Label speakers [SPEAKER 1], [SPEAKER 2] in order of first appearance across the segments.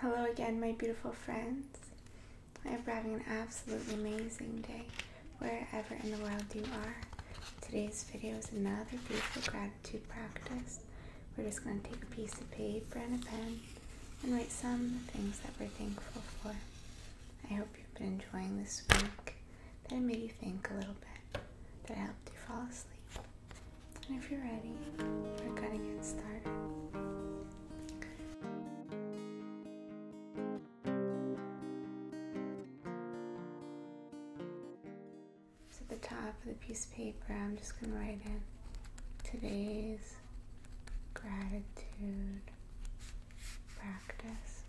[SPEAKER 1] Hello again, my beautiful friends. I hope you're having an absolutely amazing day wherever in the world you are. Today's video is another beautiful gratitude practice. We're just going to take a piece of paper and a pen and write some things that we're thankful for. I hope you've been enjoying this week, that it made you think a little bit, that it helped you fall asleep. And if you're ready, we're gonna get started. So at the top of the piece of paper, I'm just gonna write in today's gratitude practice.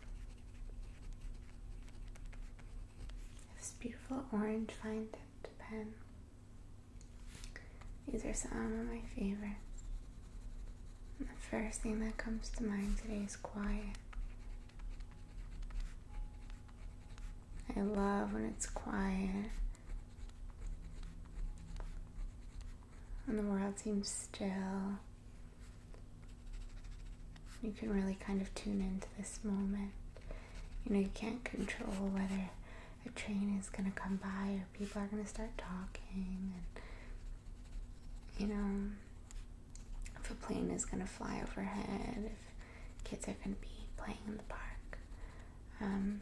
[SPEAKER 1] This beautiful orange fine tipped pen these are some of my favorites. the first thing that comes to mind today is quiet. I love when it's quiet. When the world seems still, you can really kind of tune into this moment you know, you can't control whether a train is gonna come by or people are gonna start talking and you know if a plane is gonna fly overhead, if kids are gonna be playing in the park. Um,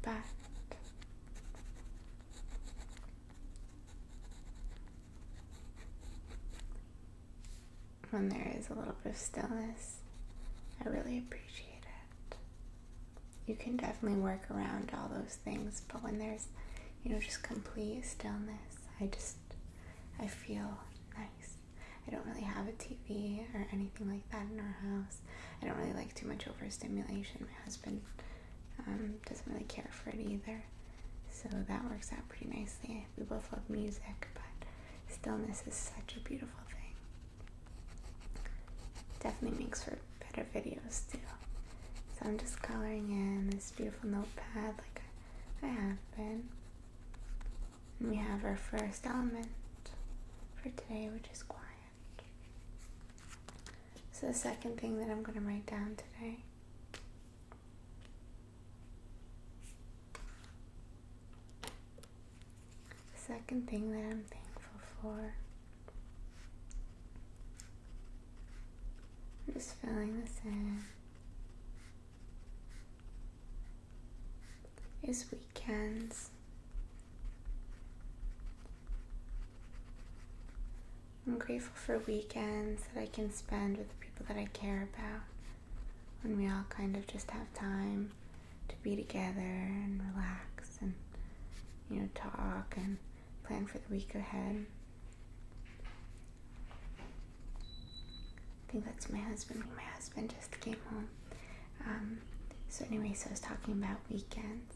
[SPEAKER 1] but when there is a little bit of stillness. I really appreciate it. You can definitely work around all those things, but when there's, you know, just complete stillness, I just, I feel nice. I don't really have a TV or anything like that in our house. I don't really like too much overstimulation. My husband um, doesn't really care for it either. So that works out pretty nicely. We both love music, but stillness is such a beautiful thing. Definitely makes for better videos too. So I'm just coloring in this beautiful notepad like I have been. And we have our first element for today, which is quiet. So the second thing that I'm going to write down today Second thing that I'm thankful for. I'm just filling this in. Is weekends. I'm grateful for weekends that I can spend with the people that I care about when we all kind of just have time to be together and relax and, you know, talk and plan for the week ahead. I think that's my husband. My husband just came home. Um, so, anyway, so I was talking about weekends.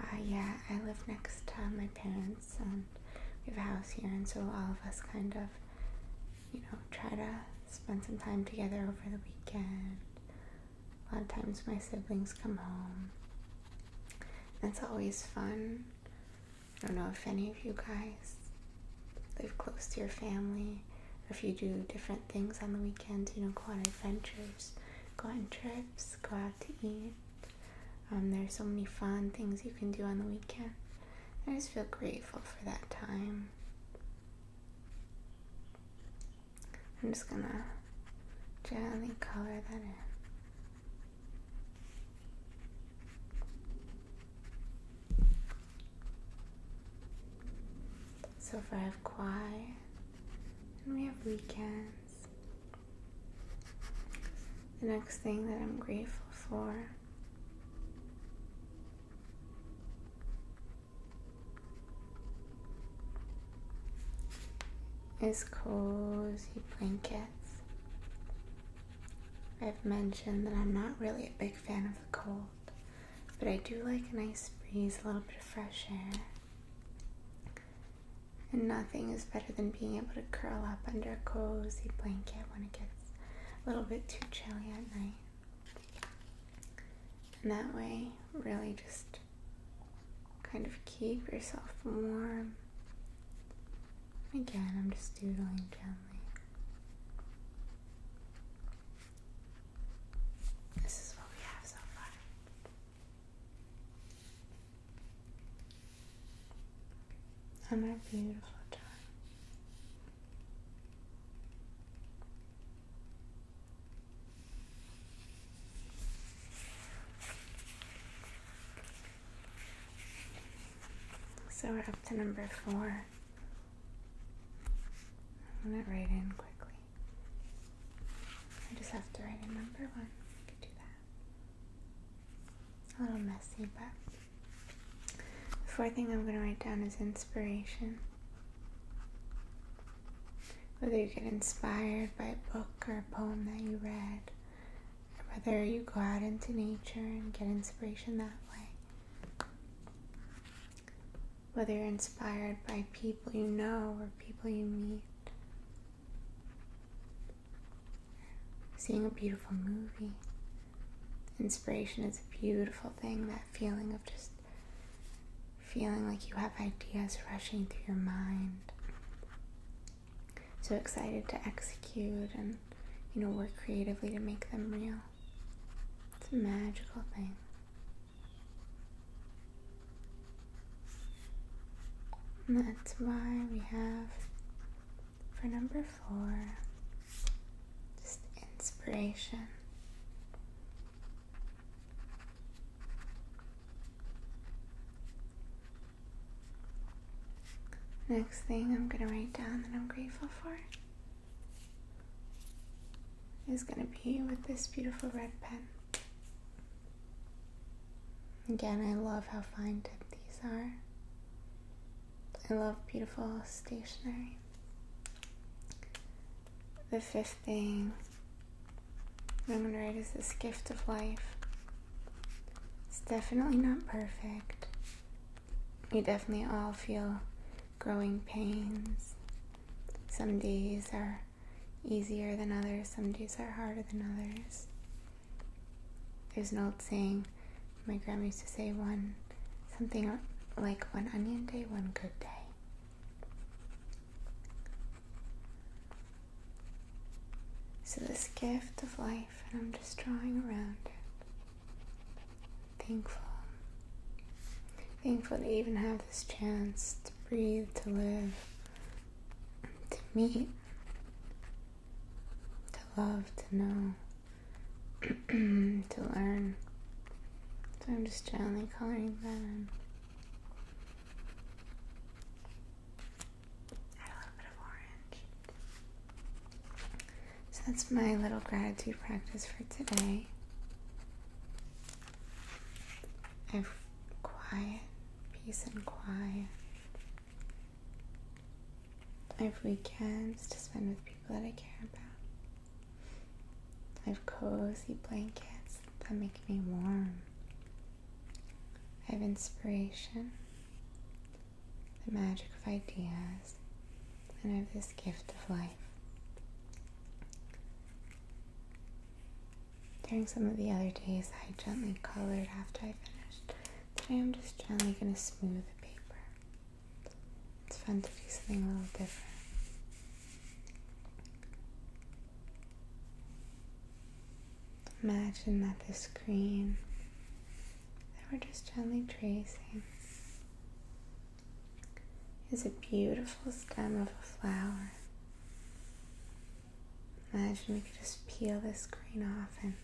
[SPEAKER 1] Uh, yeah, I live next to my parents and we have a house here, and so all of us kind of, you know, try to spend some time together over the weekend. A lot of times my siblings come home. That's always fun. I don't know if any of you guys live close to your family or if you do different things on the weekends, you know, go on adventures, go on trips, go out to eat. Um, there's so many fun things you can do on the weekend. I just feel grateful for that time. I'm just gonna gently color that in. So far I have quiet and we have weekend. The next thing that I'm grateful for is cozy blankets. I've mentioned that I'm not really a big fan of the cold, but I do like a nice breeze, a little bit of fresh air, and nothing is better than being able to curl up under a cozy blanket when it gets a little bit too chilly at night. And that way, really just kind of keep yourself warm. Again, I'm just doodling gently. This is what we have so far and a beautiful time. So we're up to number four. I'm gonna write in quickly. I just have to write a number one. I could do that. A little messy, but the fourth thing I'm going to write down is inspiration. Whether you get inspired by a book or a poem that you read, or whether you go out into nature and get inspiration that way, whether you're inspired by people you know or people you meet Seeing a beautiful movie. Inspiration is a beautiful thing, that feeling of just feeling like you have ideas rushing through your mind. So excited to execute and, you know, work creatively to make them real. It's a magical thing that's why we have for number four just inspiration. Next thing I'm going to write down that I'm grateful for is going to be with this beautiful red pen. Again, I love how fine these are. I love beautiful stationery. The fifth thing I'm gonna write is this gift of life. It's definitely not perfect. We definitely all feel growing pains. Some days are easier than others, some days are harder than others. There's an old saying my grandma used to say one something like one onion day, one good day. So this gift of life and I'm just drawing around it. Thankful Thankful to even have this chance to breathe, to live, to meet, to love, to know, to learn. So I'm just gently coloring that Add a little bit of orange. So that's my little gratitude practice for today. I've quiet, peace and quiet. I have weekends to spend with people that I care about. I have cozy blankets that make me warm. I have inspiration, the magic of ideas, and I have this gift of life. During some of the other days, I gently colored after I finished. Today, I'm just gently going to smooth the paper. It's fun to do something a little different. Imagine that this green. that we're just gently tracing is a beautiful stem of a flower. Imagine we could just peel this green off and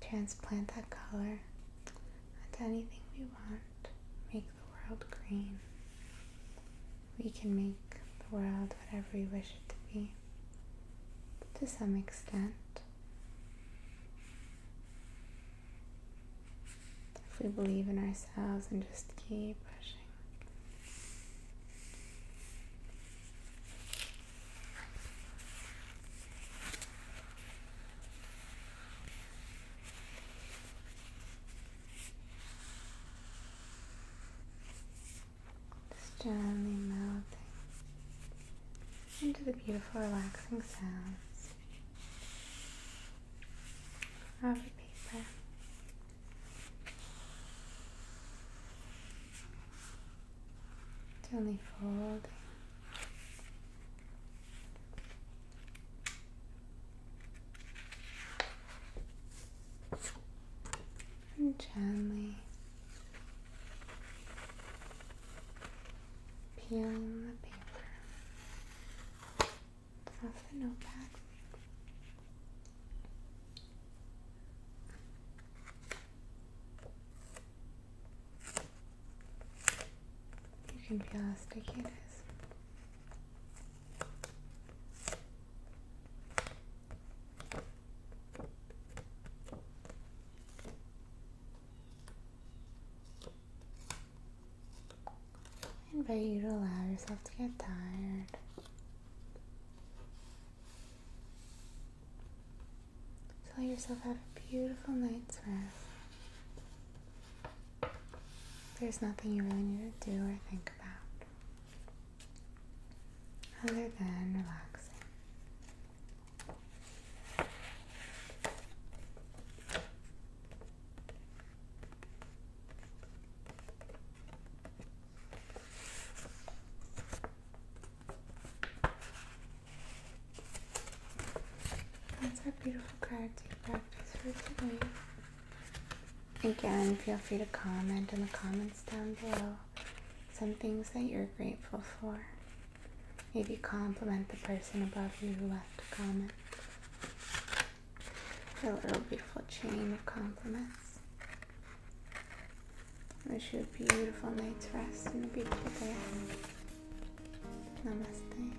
[SPEAKER 1] transplant that color onto anything we want. Make the world green. We can make the world whatever we wish it to be to some extent. If we believe in ourselves and just keep pushing. gently melting into the beautiful relaxing sounds of paper. Gently folding. And gently peeling the paper off the notepad. You can feel how sticky it is. I invite you to allow yourself to get tired. So let yourself have a beautiful night's rest. There's nothing you really need to do or think about other than relaxing. That's our beautiful gratitude practice for today. Again, feel free to comment in the comments down below some things that you're grateful for. Maybe compliment the person above you who left a comment. A little beautiful chain of compliments. Wish you a beautiful night's rest and a beautiful day. Namaste.